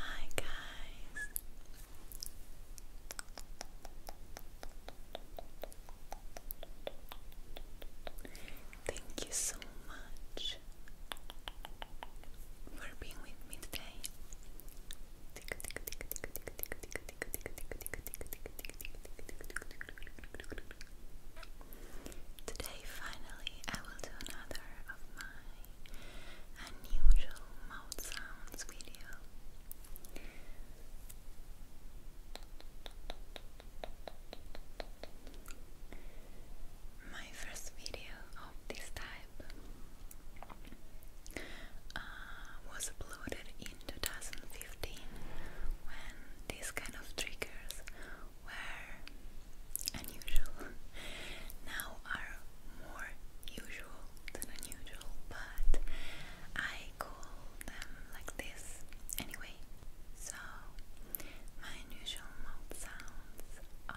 Hi, guys. Thank you so much for being with me today. Today, finally, I will do another of my unusual mouth sounds video. My first video of this type uh, was uploaded in 2015 when these kind of triggers were unusual. now are more usual than unusual, but I call them like this anyway. So my unusual mouth sounds are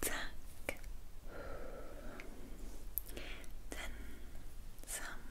Tack. Then some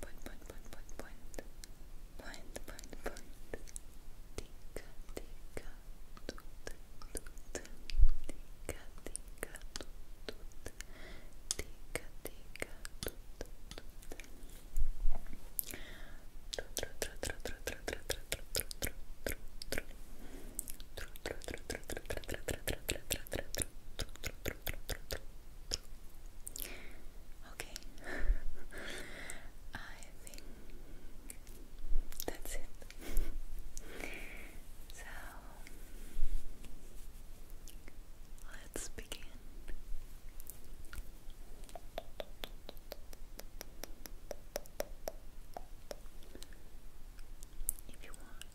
point, point, point, point, point, point, point, point, point. Tica, tica, tut, tut. Tica, tica, tut, tut. Tica, tica, tut, tut. Okay. I think that's it. so let's begin. If you want,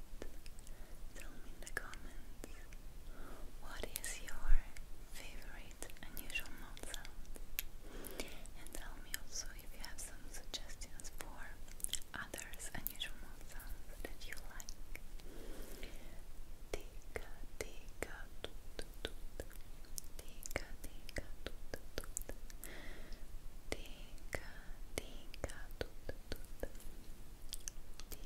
tell me in the comments what is your favorite unusual mouth sound and tell me also if you have some suggestions for others unusual mouth sounds that you like Tika tika toot toot Tika tika toot toot Tika tika toot toot Tika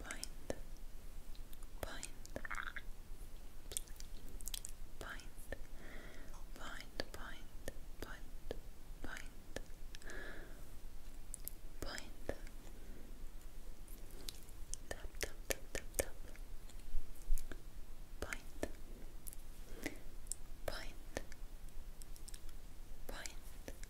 point, point, point, point, point, point, point, point, tap, tap, tap, tap, tap, point, point, point.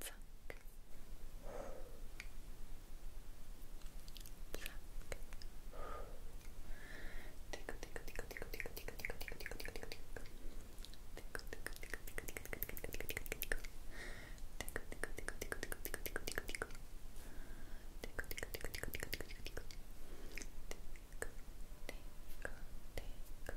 Pluck. Pluck. Tickle, tickle, tickle, tickle, tickle, tickle, tickle, tickle, tickle, tickle, tickle. Tickle, tickle, tickle, tickle, tickle, tickle, tickle, tickle, tickle. Tickle, tickle, tickle, tickle, tickle, tickle, tickle, tickle, tickle. Tickle, tickle, tickle, tickle, tickle, tickle, tickle, tickle. Tickle, tickle, tickle, tickle, tickle, tickle.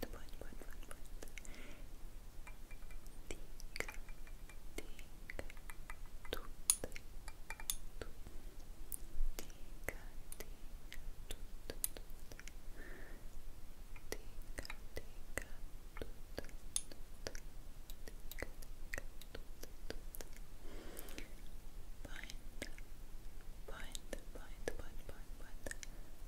point, point, point, point, point. Tik, tik, tut, tut.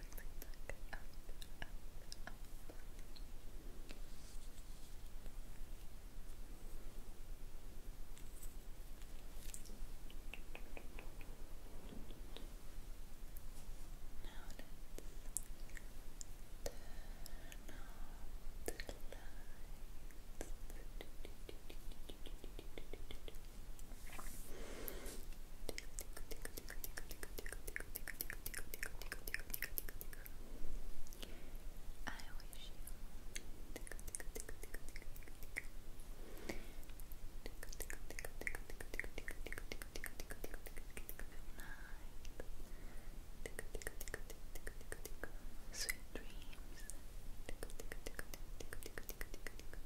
look up, up, up. Now let's turn off the lights. I wish you Sweet dreams.